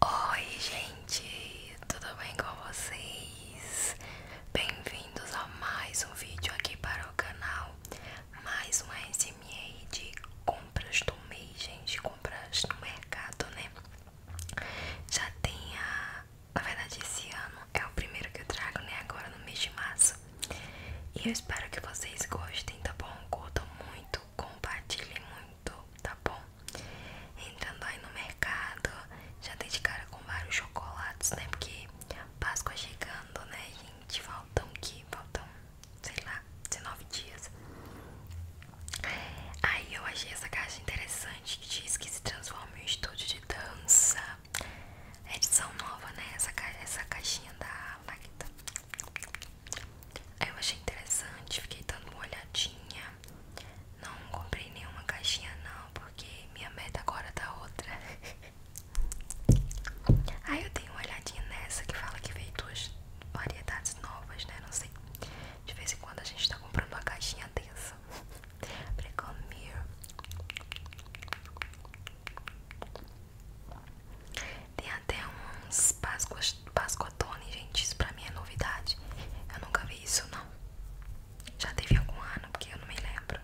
Oi, gente, tudo bem com vocês? Bem-vindos a mais um vídeo aqui para o canal. Mais uma SMA de compras do mês, gente. Compras no mercado, né? Já tem a. Na verdade, esse ano é o primeiro que eu trago, né? Agora no mês de março. E eu espero que vocês gostem, tá bom? Curtam muito, compartilhem muito, tá bom? Entrando aí no mercado, já dei de cara com vários chocolates, né? Porque Páscoa chegando, né, gente? Faltam que? Faltam, sei lá, 19 dias. Aí eu achei essa caixa interessante que diz que se transforma em um estúdio de dança edição nova, né? Essa, ca... essa caixinha da aí Eu achei interessante, fiquei dando uma olhadinha. Não comprei nenhuma caixinha não, porque minha meta agora tá outra. Aí eu dei uma olhadinha nessa que fala que veio duas variedades novas, né? Não sei. De vez em quando a gente tá comprando uma caixinha dessa pra comer. Tem até uns Páscoas, Pascotone, gente. Isso pra mim é novidade. Eu nunca vi isso, não. Já teve algum ano, porque eu não me lembro.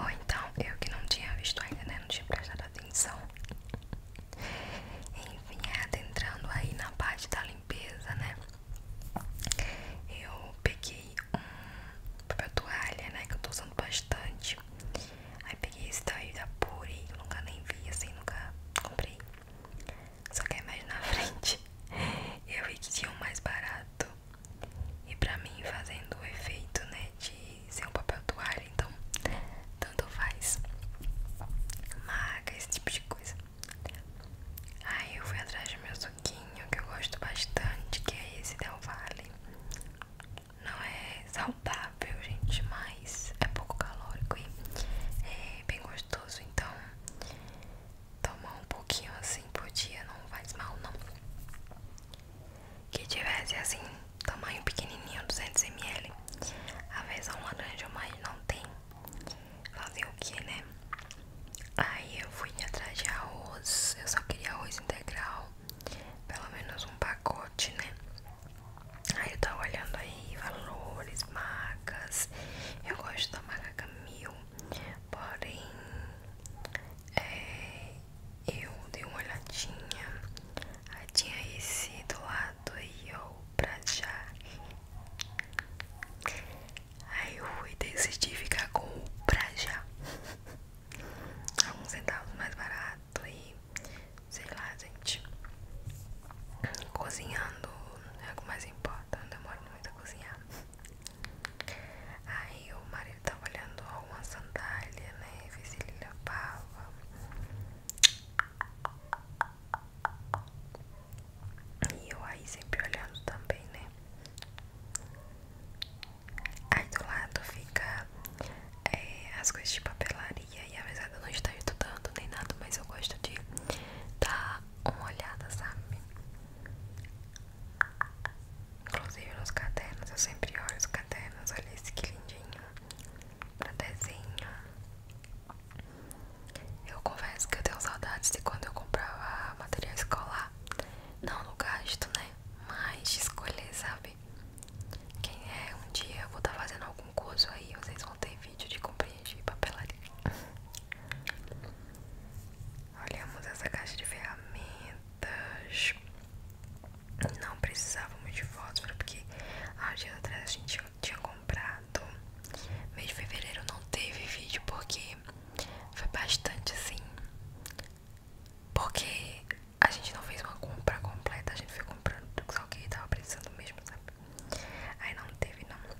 Ou então, eu que não tinha visto ainda, né? Não tinha prestado atenção. Enfim, é adentrando aí na parte da limpeza, né? Eu peguei um papel toalha, né? Que eu tô usando bastante. Aí peguei esse daí da Puri, eu nunca nem vi, assim, nunca comprei. Só que aí mais na frente eu vi que tinha um mais barato. E pra mim, fazendo o efeito, né? De ser um papel toalha, então tanto faz. Maga, esse tipo de coisa. Aí eu fui atrás de meus suquinho que eu gosto bastante, que é esse Del Valle. Não é saudável, gente, mas é pouco calórico e é bem gostoso. Então, tomar um pouquinho assim por dia não faz mal, não. Que tivesse assim, tamanho pequenininho, 200ml. A versão laranja, mais não tem. Fazer o que, né? Aí eu fui atrás de arroz, eu só queria arroz integral, pelo menos um pacote, né? Aí eu tava olhando aí valores, marcas. Eu gosto da marca mil porém é, eu dei uma olhadinha. Aí tinha esse do lado aí, ó, pra já. Aí eu fui decidi ficar com o pra já. Alguns centavos mais barato e sei lá, gente. Cozinhando é o que mais importa, não demora muito a cozinhar. Aí o marido tava olhando alguma sandália, né? Fiz ele lavava. E eu aí sempre olhando também, né? Aí do lado fica é, as coisas de papelaria e apesar de eu não estar estudando nem nada, mas eu gosto de dar uma olhada, sabe? Inclusive nos cadernos, eu sempre olho os cadernos, olha esse que lindinho, pra desenho. Eu confesso que eu tenho saudades de quando eu comprava material escolar. Não no gasto, né? Mas de escolher, sabe? Quem é um dia eu vou estar tá fazendo algum curso aí, vocês vão ter vídeo de compreender papelaria. Olhamos essa caixa de ferramentas. Não precisávamos de fotos porque há dias atrás a gente tinha comprado. Mês de fevereiro não teve vídeo porque foi bastante assim. Porque a gente não fez uma compra completa, a gente foi comprando tudo só que tava precisando mesmo, sabe? Aí não teve não.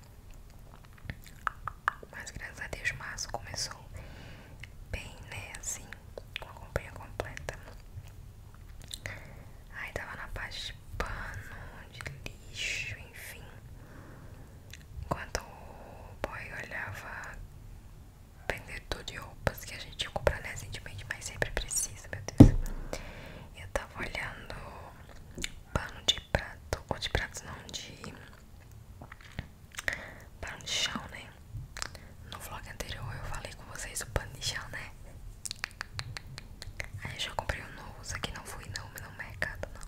Mas graças a Deus março começou bem, né? Assim, com a comprinha completa. Aí tava na parte de pano, de lixo, enfim. Enquanto o boy olhava vendedor de roupas que a gente tinha comprado recentemente, mas sempre precisa, meu Deus. Eu tava olhando pano de prato, ou de pratos não, de pano de chão, né? No vlog anterior eu falei com vocês o pano de chão, né? Aí eu já comprei um novo, isso aqui não fui não, não é mercado não.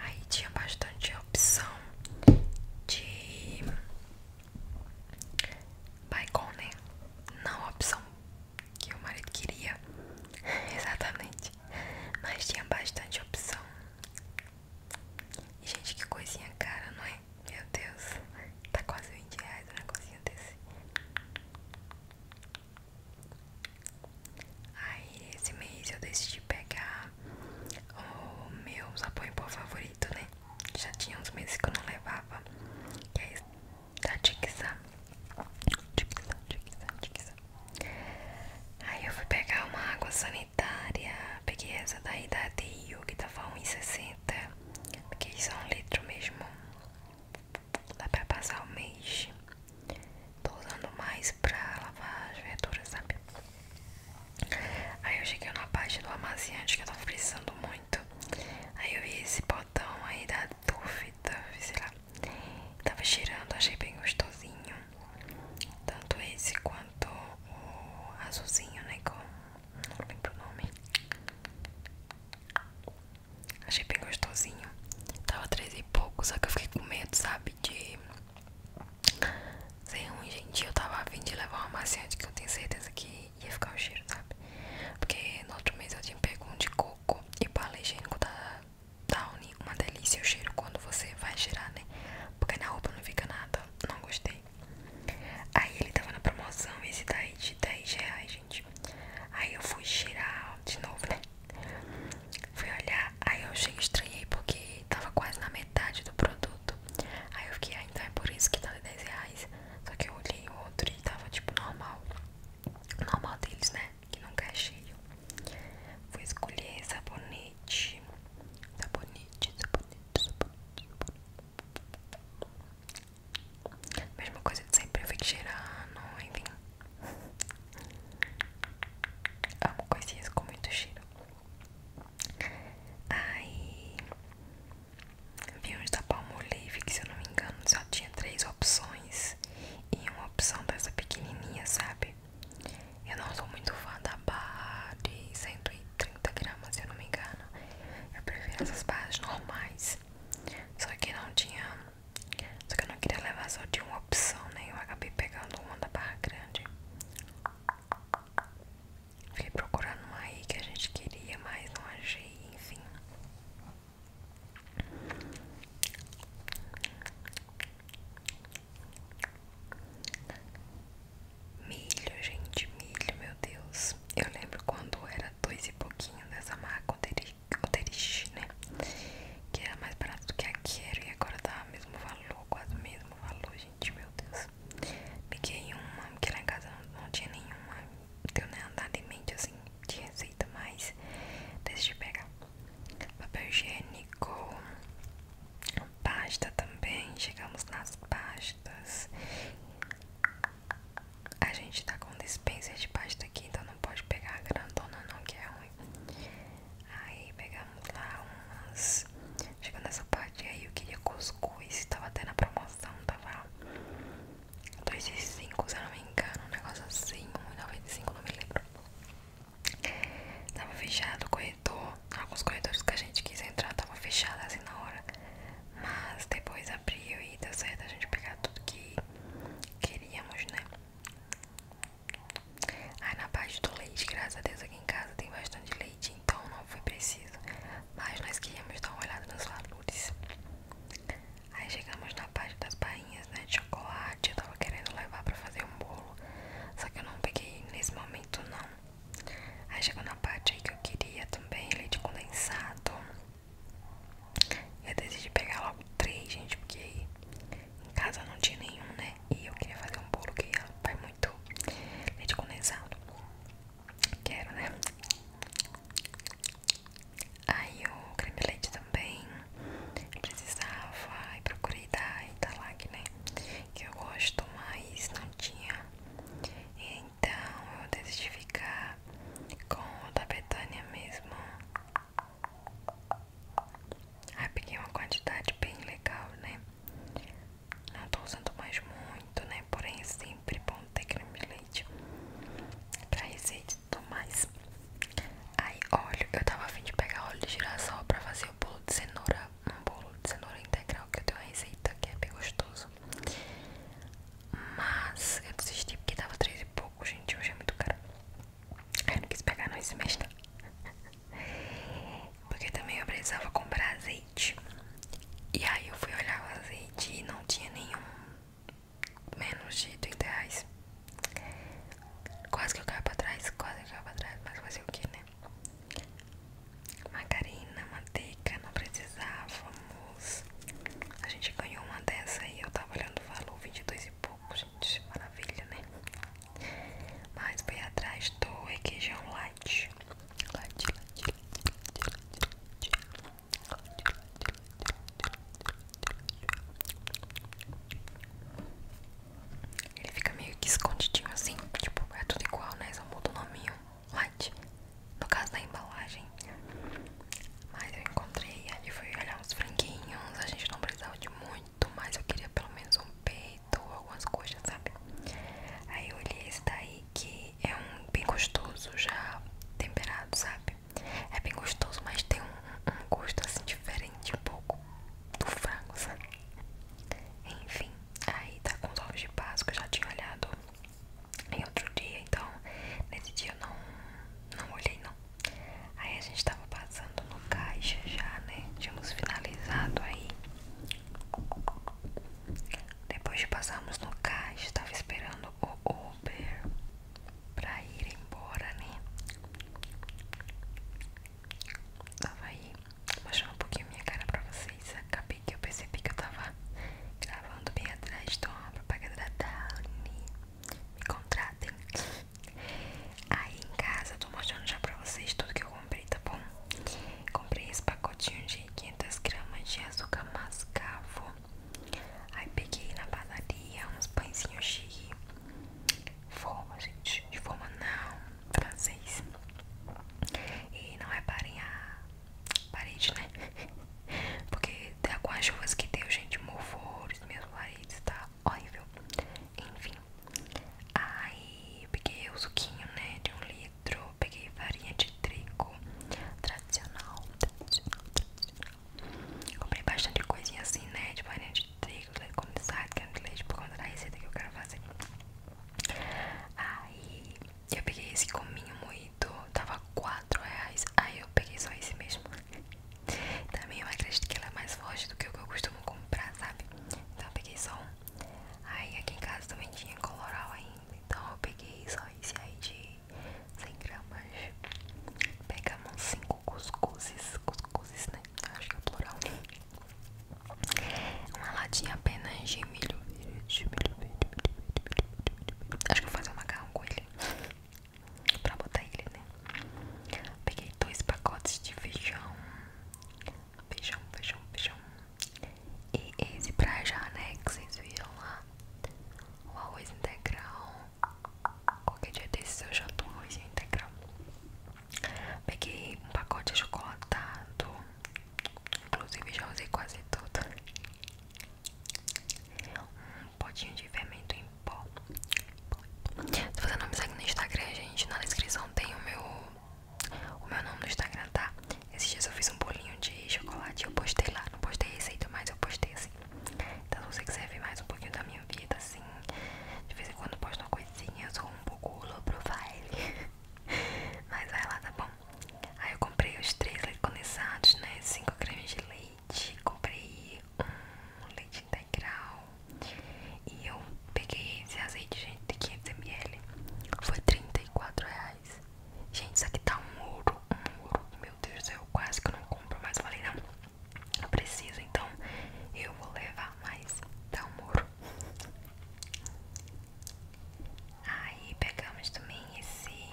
Aí tinha bastante opção de bacon, né? Não a opção que o marido queria, exatamente. Mas tinha bastante opção Gente, que coisinha cara, não é? Meu Deus, tá quase 20 reais um negocinho desse. Aí, esse mês eu decidi pegar o meu sabão em favorito, né? Já tinha uns meses que eu não levava. Que é esse da Tixa. Tixa, Tixa. Aí eu fui pegar uma água sanitária. Peguei essa daí da Rio que tava 1,60. isso é um litro mesmo. Dá pra passar o mês. Tô usando mais pra lavar as verduras, sabe? Aí eu cheguei na parte do amaciante que eu tava precisando muito. Aí eu vi esse botão aí da Duff, sei lá. Tava cheirando, achei bem gostosinho. Tanto esse quanto o azulzinho, né? Com, não lembro o nome. Achei bem gostosinho. Tava três e pouco, só que eu fiquei com medo, sabe? De ser ruim, gente. Eu tava vindo levar uma maciante que eu tenho certeza que ia ficar o cheiro, sabe? Porque no outro mês eu tinha pego um de coco e pá higiênico da tá Downy, uma delícia o cheiro quando você vai girar né? Porque na roupa não fica nada, não gostei. Aí ele tava na promoção, esse daí de 10 reais, gente. Aí eu fui girar de novo, né? Fui olhar, aí eu cheguei, estranhei porque tava quase na metade do produto. Aí eu fiquei, ah, então é por isso que tá de 10 reais. Só que eu olhei o outro e tava tipo normal. Normal deles, né? Que nunca é cheio. Fui escolher sabonete. Sabonete, sabonete, sabonete, sabonete. Mesma coisa de sempre, eu refrigerando, enfim. Amo coisinhas com muito cheiro. Aí vi uns da Palmolive que se eu não me engano só tinha três opções. E uma opção dessa pequenininha, sabe? Eu não sou muito fã da barra de 130 gramas, se eu não me engano. Eu prefiro essas barras normais. Só que não tinha. Só que eu não queria levar só de uma opção, né? Eu acabei pegando uma da barra grande. fui procurando uma aí que a gente queria, mas não achei, enfim. Milho, gente, milho, meu Deus. Eu lembro quando era dois e pouquinho dessa marca Oderich, né? Que era mais barato do que a Quero e agora tá mesmo valor, quase o mesmo valor, gente, meu Deus. Peguei uma, porque lá em casa não, tinha nenhuma, não deu nem andar de mente assim de receita, mas de pegar papel higiênico, pasta também. Chegamos nas pastas. A gente tá com dispensa de pasta aqui, então não pode pegar a grandona, não, que é ruim. Aí pegamos lá umas. Chegando nessa parte aí, eu queria cuscuz. Tava até na promoção, tava 2,5 se eu não me engano. Um negócio assim, 1,95, não me lembro. Tava fechado o corredor. Alguns corredores que a gente quis entrar tava fechado assim na hora. Mas depois abriu e deu certo a gente pegar tudo que queríamos, né? Aí na parte do leite, graças a Deus aqui em casa tem bastante leite, então não foi preciso. Mas nós queríamos dar uma olhada nos valores. Aí chegamos na parte das barrinhas barrinhas né, de chocolate. Eu tava querendo levar pra fazer um bolo. Só que eu não peguei nesse momento, não. Aí chegou na parte aí que eu queria também leite condensado. Eu decidi pegar logo três, gente, porque em casa não tinha nenhum, né? E eu queria fazer um bolo que vai muito leite condensado. Quero, né? Aí o creme de leite também precisava e procurei da Italac, né? Que eu gosto, mas não tinha. Então eu decidi ficar com o da Betânia mesmo. Aí peguei uma quantidade bem legal, né? Não tô usando mais muito, né? Porém é sempre bom ter creme leite pra receita tudo mais. Aí, óleo, eu tava afim de pegar óleo de girassol pra fazer o bolo de cenoura, um bolo de cenoura integral que eu tenho a receita, que é bem gostoso. Mas eu desisti porque tava três e pouco, gente, hoje é muito caro. Aí eu não quis pegar não esse mês não. Porque também eu precisava comprar azeite. E aí eu fui olhar o azeite e não tinha nenhum menos de 30 reais. Quase que eu caio pra trás, quase que eu caio pra trás, mas fazer o que, né? Margarina, manteiga, não precisávamos. A gente ganhou uma dessa aí eu tava olhando o valor, 22 e pouco, gente. Maravilha, né? Mas foi atrás do requeijão light. light, light, light, light, light, light ele fica meio que escondidinho assim, tipo, é tudo igual, né? Só muda o nominho light. No caso da embalagem. Mas eu encontrei ali, foi olhar uns franguinhos. A gente não precisava de muito, mas eu queria pelo menos um peito ou algumas coxas, sabe? Aí eu olhei esse daí que é um bem gostoso, já temperado, sabe? É bem gostoso, mas tem um, gosto assim diferente, um pouco do frango, sabe? Enfim, aí tá com os olhos de que eu já tinha olhado em outro dia, então nesse dia eu não, não olhei não. Aí a gente tava passando no caixa já, né? Tínhamos finalizado aí. Depois de passarmos no caixa, tava esperando o Uber pra ir embora, né? Tava aí mostrando um pouquinho minha cara pra vocês. Acabei que eu percebi que eu tava gravando bem atrás de uma propaganda da Dani. Me contratem. Aí em casa eu tô mostrando já pra vocês tudo que eu comprei, tá bom? Comprei esse pacotinho de 500 gramas de açúcar mascavo Aí peguei na padaria uns pãezinhos de forma, gente. De forma não, francês. E não reparem é a parede, né? Porque com as chuvas que tem gente, morvou os meus paredes, tá horrível. Enfim. Aí peguei o suquinho, né? De um litro. Peguei farinha de trigo tradicional. tradicional, tradicional. Comprei bastante coisinha assim, né? De farinha de trigo, leite condensado, creme de leite por conta da receita que eu quero fazer. Aí eu peguei esse cominho moído, tava 4 reais. Aí eu peguei só esse mesmo. Também eu acredito que ela é mais forte do que o que eu costumo comprar, sabe? Então eu peguei só um. Aí aqui em casa também tinha coloral ainda. Então eu peguei só esse aí de 100 gramas. Pegamos 5 cuscuzes, cuscuzes, né? Acho que é plural. Uma latinha apenas de milho verde. Milho verde, Acho que eu vou fazer um macarrão com ele. pra botar ele, né? Peguei dois pacotes de feijão. Feijão, feijão, feijão. E esse pra já, né? Que vocês viram lá tá? Um arroz integral. Qualquer dia desses eu janto um arroz integral. Peguei um pacote de chocolatado. Inclusive já usei quase tudo. Um potinho de fermento em pó. Se você não me segue no Instagram, gente, na descrição tem o meu o meu nome no Instagram, tá? Esses dias eu fiz um bolinho de chocolate. Eu postei lá, não postei receita, mas eu postei assim. Então, se você quiser ver mais um pouquinho da minha vida, assim, de vez em quando posto uma coisinha. Eu sou um pouco low profile, mas vai lá, tá bom? Aí eu comprei os três leite condensados, né? Cinco cremes de leite. Comprei um leite integral. E eu peguei esse azeite, gente, de 500ml. Foi 34 reais. Gente, isso aqui tá um ouro, um ouro. Meu Deus, eu quase que não compro, mas falei, não, não preciso, então eu vou levar mais. Tá um ouro. Aí pegamos também esse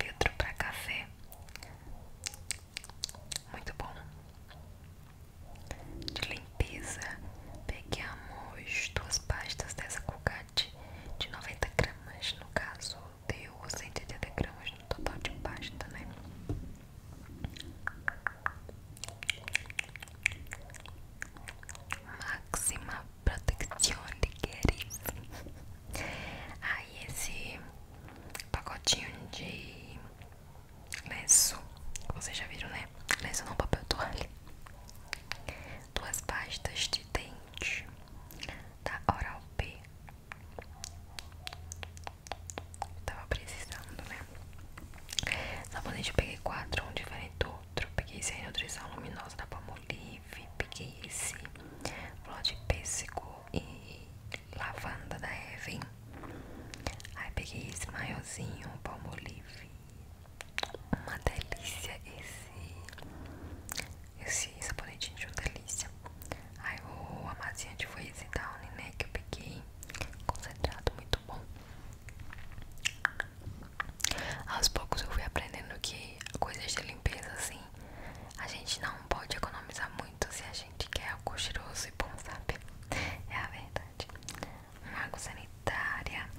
filtro pra café. Muito bom. De limpeza. peguei Pegamos duas pastas dessa Colgate de 90 gramas, no caso deu 180 gramas no total de pasta, né? Máxima proteção de queres. Aí ah, esse pacotinho de lenço, vocês já viram, né? Lenço não, papel toalha duas pastas de dente da Oral B. Tava precisando, né? Sabonete eu peguei quatro, um diferente do outro. Peguei esse aí, Nutrição Luminosa da Palmolive. Peguei esse flor de pêssego e lavanda da Heaven. Aí peguei esse maiorzinho, Palmolive uma delícia esse. Esse sabonetinho de uma delícia. Aí o amaciante foi esse Downy, né? Que eu peguei. Concentrado, muito bom. Aos poucos eu fui aprendendo que coisas de limpeza, assim, a gente não pode economizar muito se a gente quer algo cheiroso e bom, sabe? É a verdade. Uma água sanitária.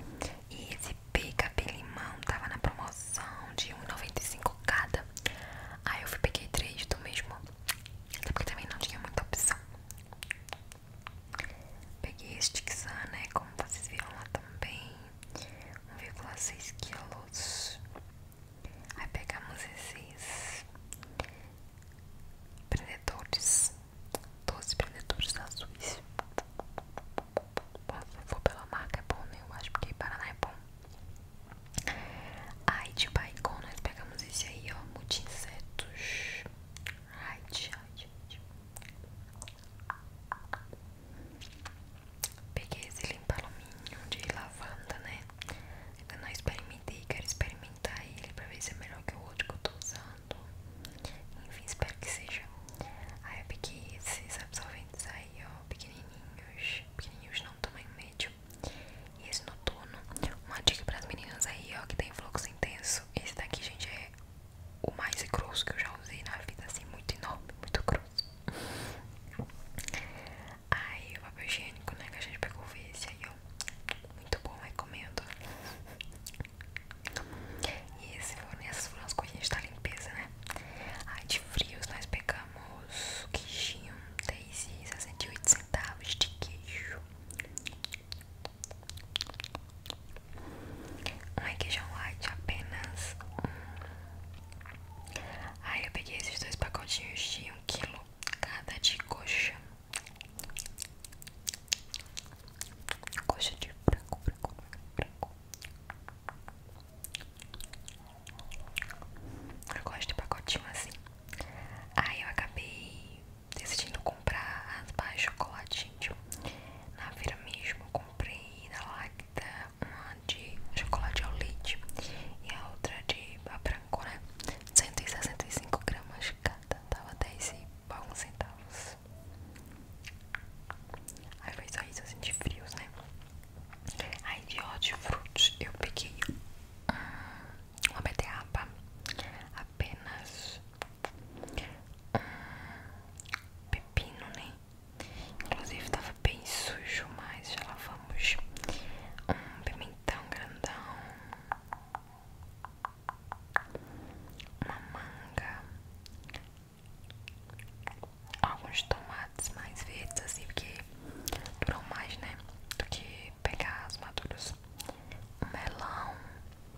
E esse peguei cabelo Limão tava na promoção de 1,95 cada. Aí eu fui peguei três do mesmo. Até porque também não tinha muita opção. Peguei este né? Como vocês viram lá também. 1,6 quilos. Aí pegamos esses prendedores. 12 prendedores azuis. Bom, se for pela marca é bom, né? Eu acho porque Paraná é bom. Aí de Baicon nós pegamos esse aí, ó. Multi insetos. Ai, ai, Peguei esse limpa alumínio de lavanda, né? ainda não experimentei, quero experimentar ele pra ver se é melhor que o outro que eu tô usando. Enfim, espero que seja. Aí eu peguei esses absorventes aí, ó, pequenininhos. Pequenininhos não, tamanho médio. esse noturno. Uma dica para as meninas aí, ó, que tem fluxo intenso. Esse daqui, gente, é o mais grosso que eu já usei na vida, assim, muito enorme, muito grosso. Aí o papel higiênico, né, que a gente pegou foi esse aí, ó. Muito bom, recomendo. E esse, essas foram as coisinhas da limpeza, né? Aí de frios nós pegamos queijinho, 10 e 68 centavos de queijo. Um queijão light, apenas um. Aí eu peguei esses dois pacotinhos de 1 um kg cada de coxa gosto de branco, branco, branco. Eu gosto de pacotinho assim. Aí eu acabei decidindo comprar as barras chocolate, tipo, na vira mesmo. Eu comprei da Lacta uma de chocolate ao leite e a outra de branco, né? 165 gramas cada, tava 10 e alguns centavos frios. Aí foi só isso, assim, de frios, né? Aí de hortifruti eu peguei hum, uma beterraba, apenas hum, pepino, né? Inclusive tava bem sujo, mas já lavamos um pimentão grandão uma manga, alguns tomates mais verdes assim, porque duram mais, né? Do que pegar as maduras. Um melão,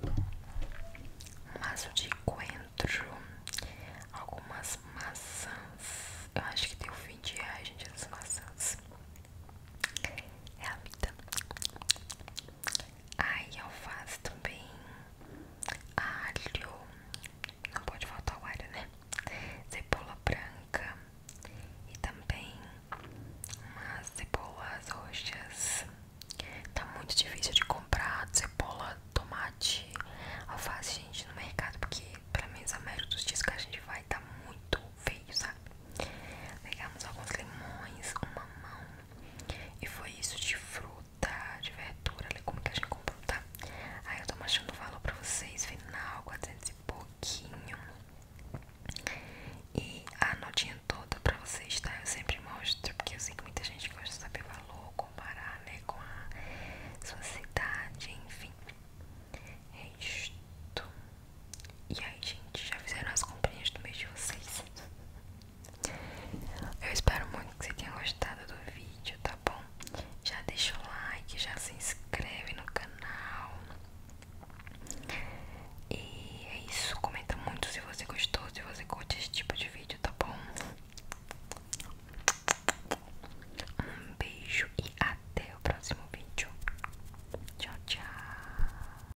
um maço de coentro, algumas maçãs. Eu acho que tem deu 20 reais, gente, essas maçãs. É a vida. Ai, alface também. Alho. Não pode faltar o alho, né? Cebola branca. E também umas cebolas roxas. Tá muito difícil de comprar cebola, tomate, alface, gente, no mercado. Porque, pelo mim os améritos dos que a gente vai tá muito feio, sabe? Pegamos alguns limões, um mamão, e foi isso de fruta, de verdura, como que a gente comprou, tá? Aí eu tô mostrando o valor pra vocês, final, 400 e pouquinho. E a notinha toda pra vocês, tá? Eu sempre mostro, porque eu sei que muita gente gosta de saber valor, comparar, né, com a sua cidade, enfim. É isto. E aí, gente, já fizeram as comprinhas do mês de vocês? Eu espero muito que você tenha gostado do vídeo, tá bom? Já deixa o like, já se inscreve no canal. E é isso, comenta muito se você gostou, se você curte esse tipo de vídeo, tá bom? Um beijo e até o próximo vídeo. Tchau, tchau.